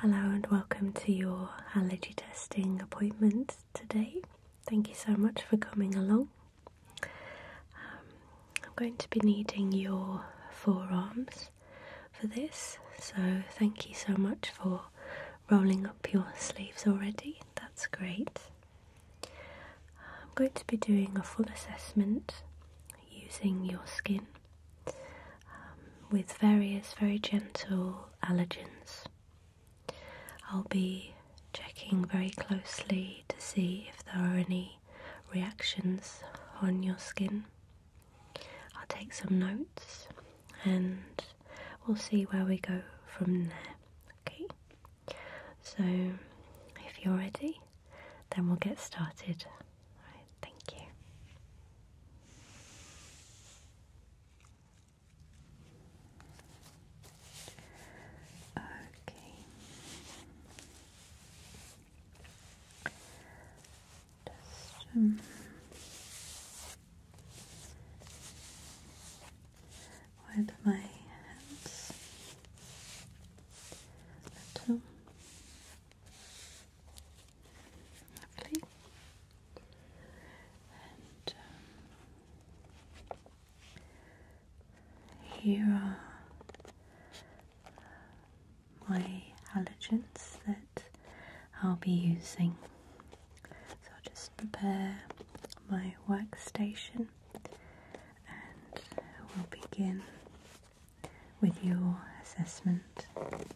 Hello and welcome to your allergy testing appointment today. Thank you so much for coming along. Um, I'm going to be needing your forearms for this, so thank you so much for rolling up your sleeves already. That's great. I'm going to be doing a full assessment using your skin. Um, with various very gentle allergens. I'll be checking very closely to see if there are any reactions on your skin. I'll take some notes and we'll see where we go from there. Okay, so if you're ready, then we'll get started. Alright, thank you. Okay. Just um, with my hands a little. Lovely. And um, here are my allergens that I'll be using. So I'll just prepare my workstation and we'll begin with your assessment.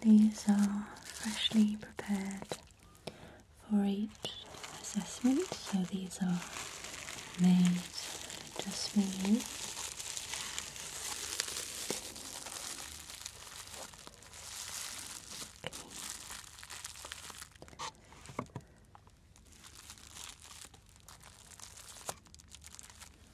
These are freshly prepared for each assessment, so these are made just for you. Okay.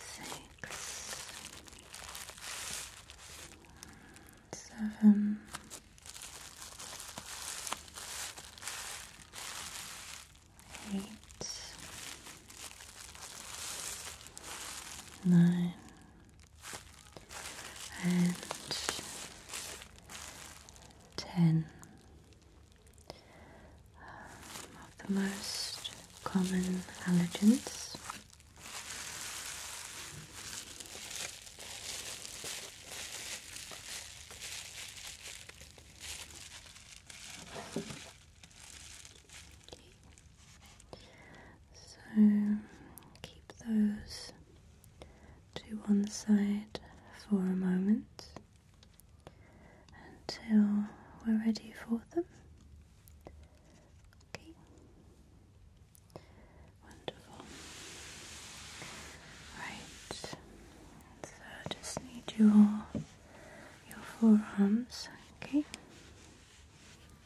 Six, seven, eight, nine, and ten um, of the most common allergens. So keep those to one side for a moment until we're ready for them. Okay. Wonderful. Right. So I just need your your forearms, okay?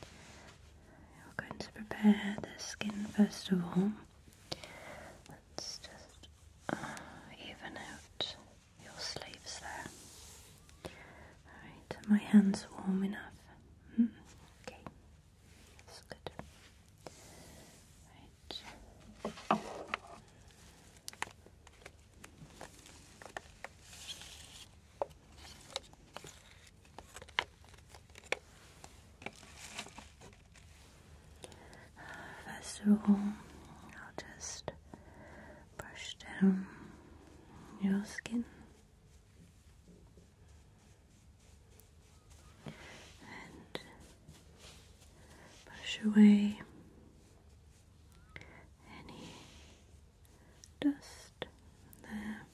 we are going to prepare the skin first of all. Let's just uh, even out your sleeves there. Alright, my hands warm enough. Hmm, okay, that's good. Right. First of all, I'll just brush down your skin and brush away any dust there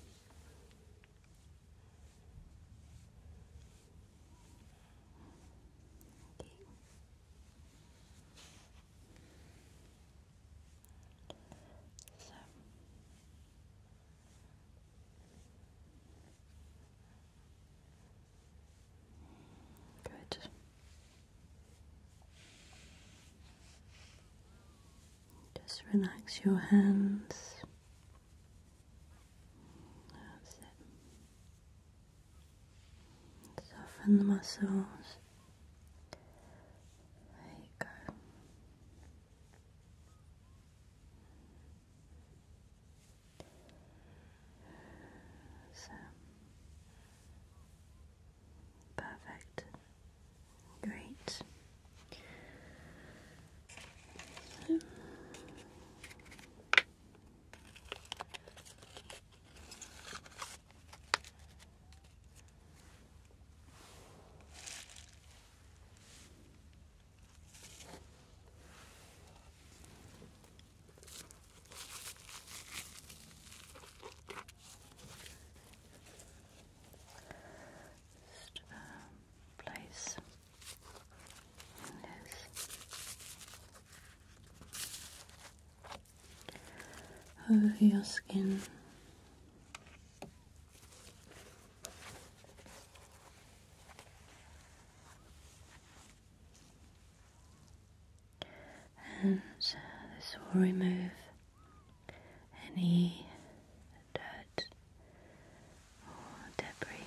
good. Just relax your hands. That's it. Soften the muscles. There you go. So perfect. Great. So. Just um, place over your skin. And uh, this will remove any dirt Oh, debris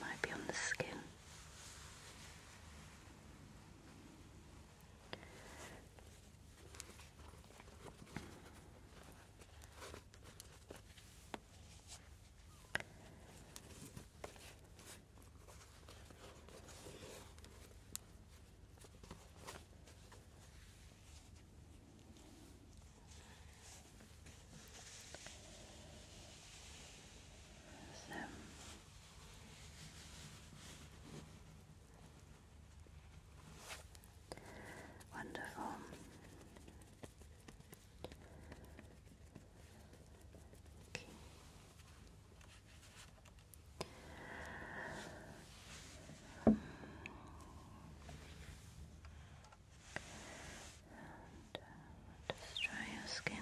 might be on the skin. So wonderful. Okay. And uh, just try your skin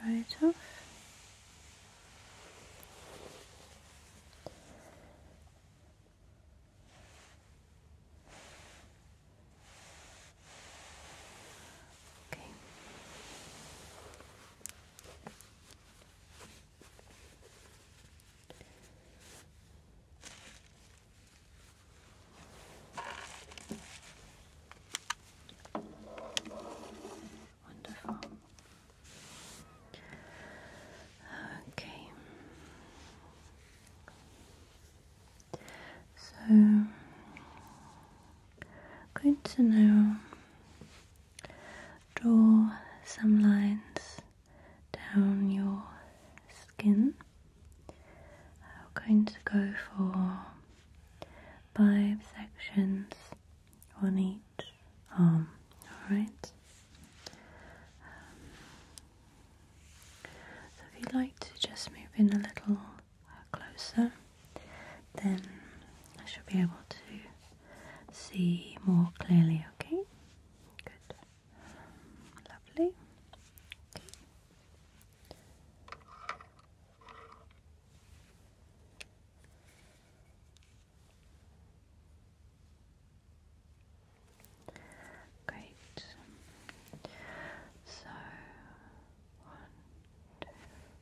Dry it off. Okay. Okay. So, good to know Draw some lines down your skin. I'm going to go for five sections on each arm, alright? so if you'd like to just move in a little closer then I should be able to see more clearly, okay? Good. Lovely. Okay. Great. So one, two,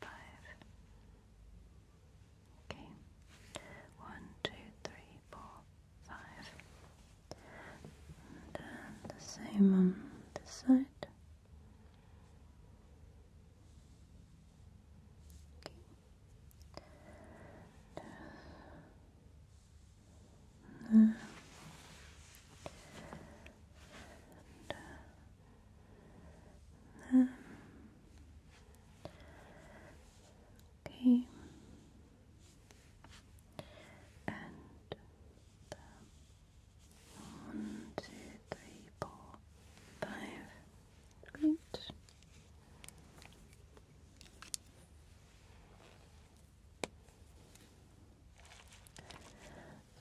five. Okay. One, two, three, four, five. And um, the same on this side. Okay. And, uh, uh, um, okay, and um, one, two, three, four, five. Great.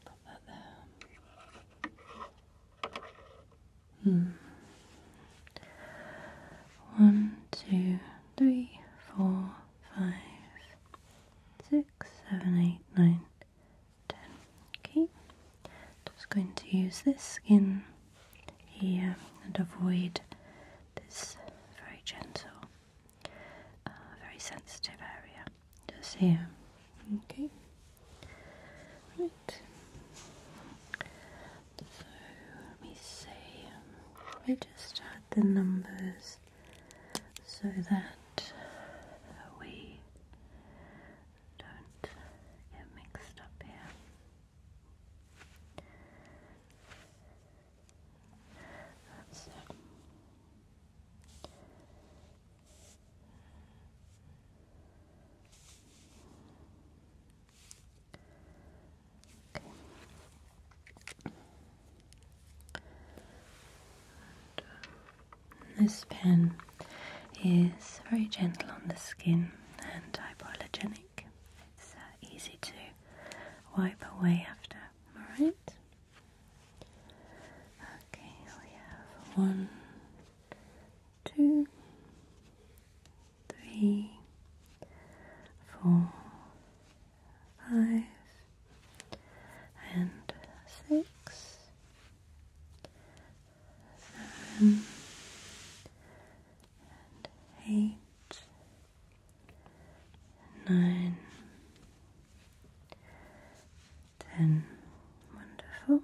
Put that there. Hmm. One, two, three, four, five, six, seven, eight, nine, ten. Okay. Just going to use this in here and avoid this very gentle, uh, very sensitive area. Just here. Okay. Right. So let me see. Um, let me just add the numbers so that we don't get mixed up here this pen is very gentle on the skin and hypoallergenic. It's uh, easy to wipe away after. All right. Okay, we have one, two, three, four, five, and six, and eight, nine, ten. Wonderful.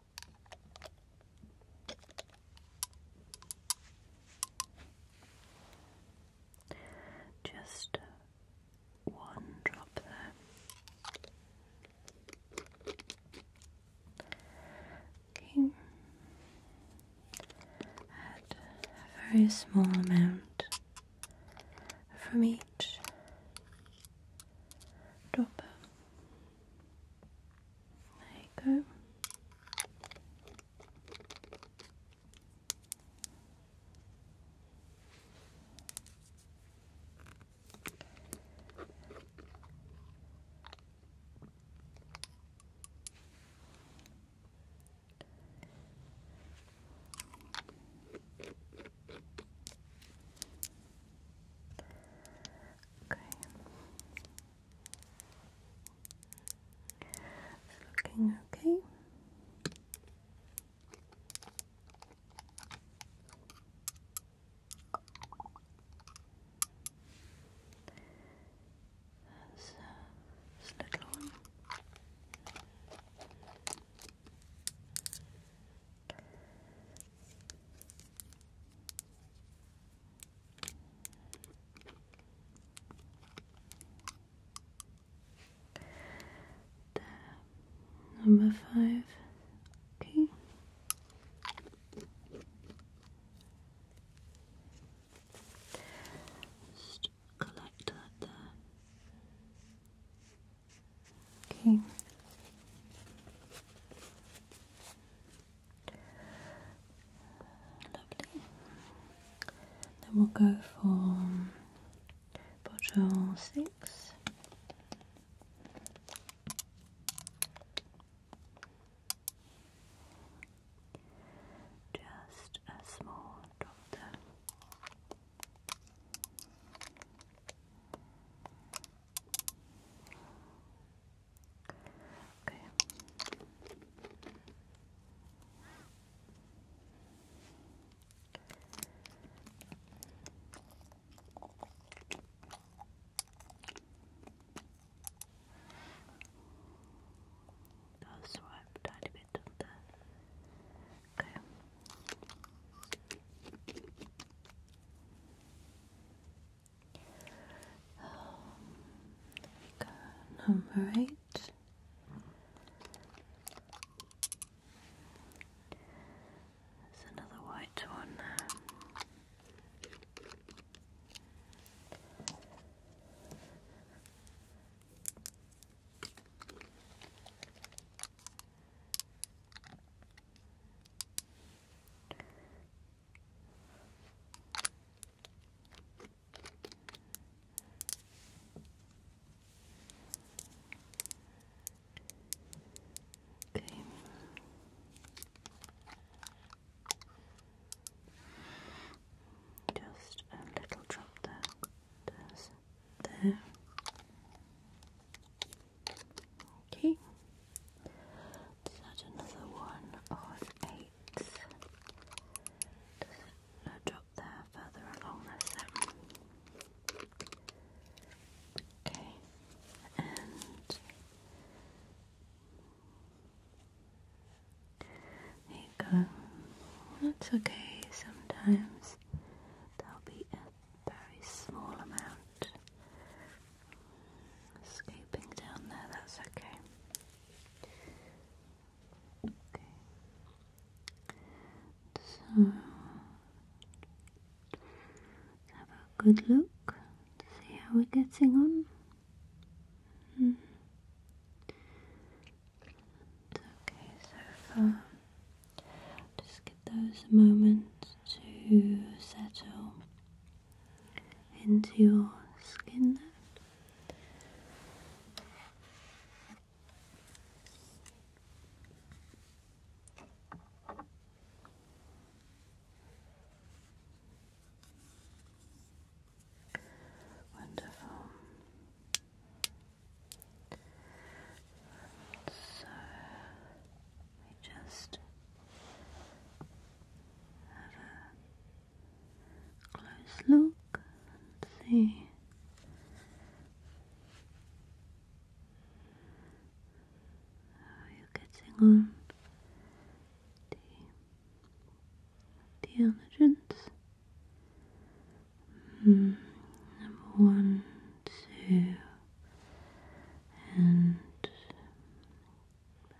Just one drop there. Okay. Add a very small amount from each dropper. There you go. Okay. It's looking okay. That's uh, little one. Number five. Okay. Just collect that there. Okay. Lovely. Then we'll go for bottle six. Just a small drop there. Okay. I'll swipe a bit of the Okay. Um, number eight. There's another white one there. Okay. Just a little drop there. There's there. Okay add another one of eight. No drop there further along this end. Okay, and there you go. That's okay, sometimes there'll be a very small amount escaping down there, that's okay. So let's have a good look to see how we're getting on. Hmm. okay so far. Just give those moments to settle into your skin Wonderful. So we just have a close look and see. How are getting on? The, the allergens? Mm, number one, two, and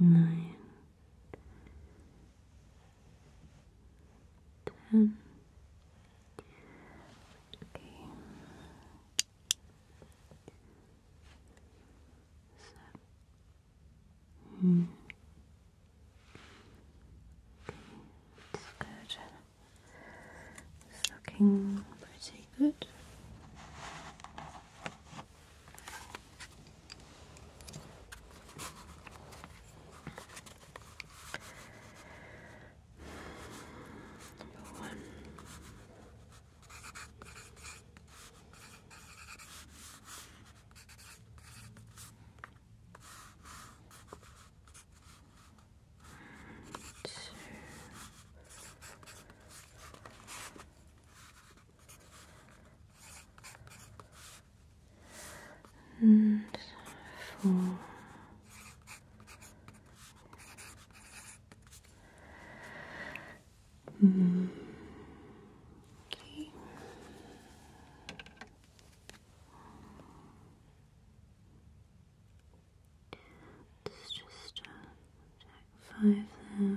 nine, ten. Okay. So, okay, good. It's looking pretty good. Number one. Two and four. Mm. Okay. Let's just uh, five there. Uh,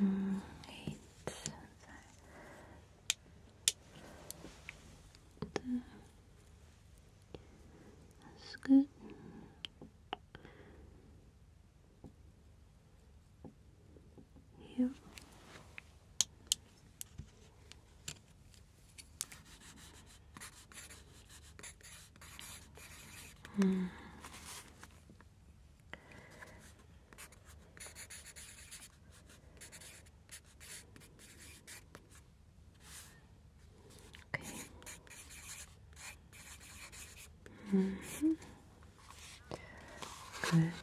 And eight. That's good. Yeah. Hmm. Okay. -hmm. Good.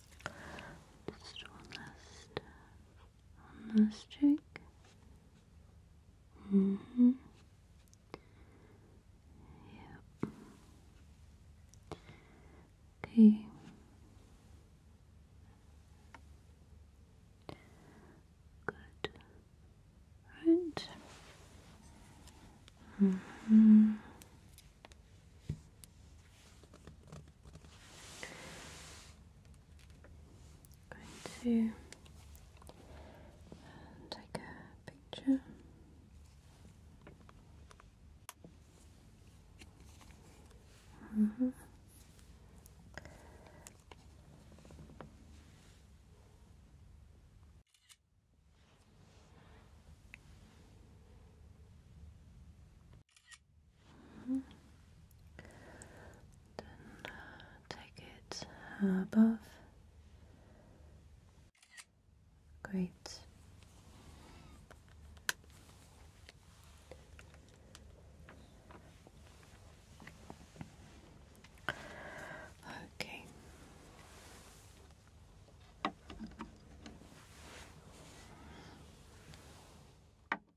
Just one last, last check. Mm -hmm. Yep. Okay. Good. Right. -hmm. Going to take a picture. Mm -hmm. Then take it above. Great. Okay.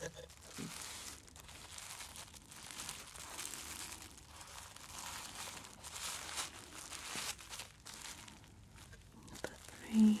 Number three.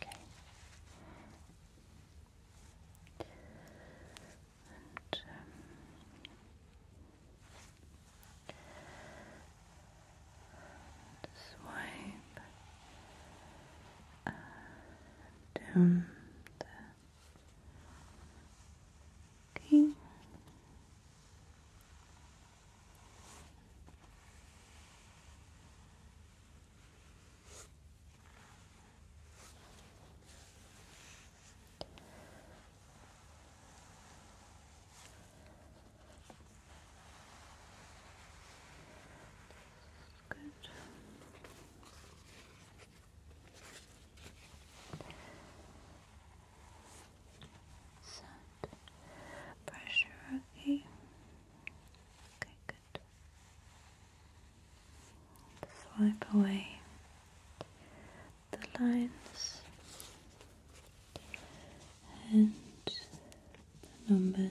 Okay. And um, swipe uh, down there. Okay. Good. Send pressure, okay. Okay, good. Swipe away the lines and the numbers.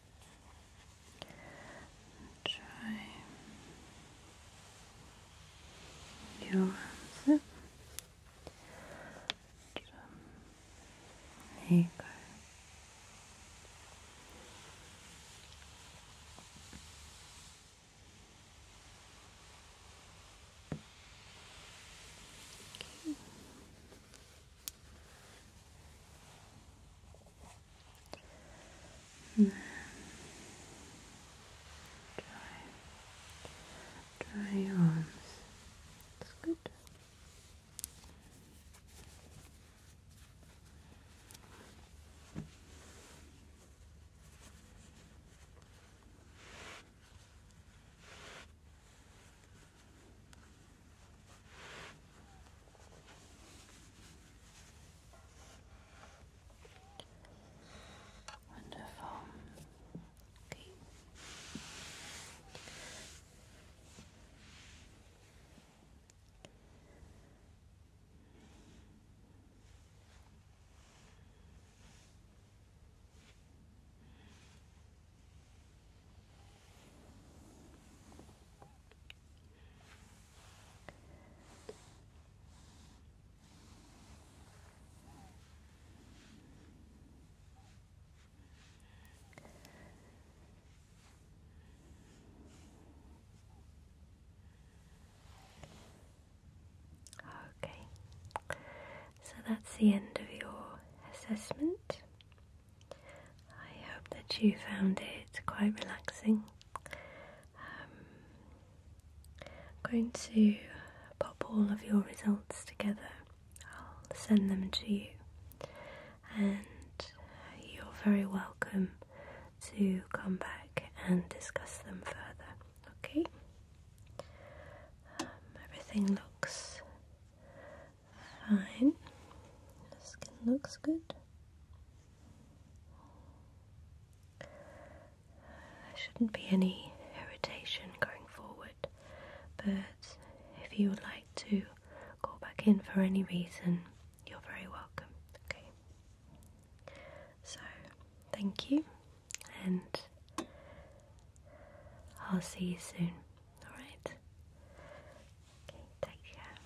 Try your arms There you and then dry, dry your arms. That's good. Wonderful. Okay. Okay, so that's the end of your assessment. I hope that you found it quite relaxing. Um, I'm going to pop all of your results together, I'll send them to you, and uh, you're very welcome to come back and discuss them further. Okay? Um, everything looks Fine. The skin looks good. There shouldn't be any irritation going forward, but if you would like to call back in for any reason, you're very welcome. Okay. So, thank you, and I'll see you soon. Alright? Okay, take care.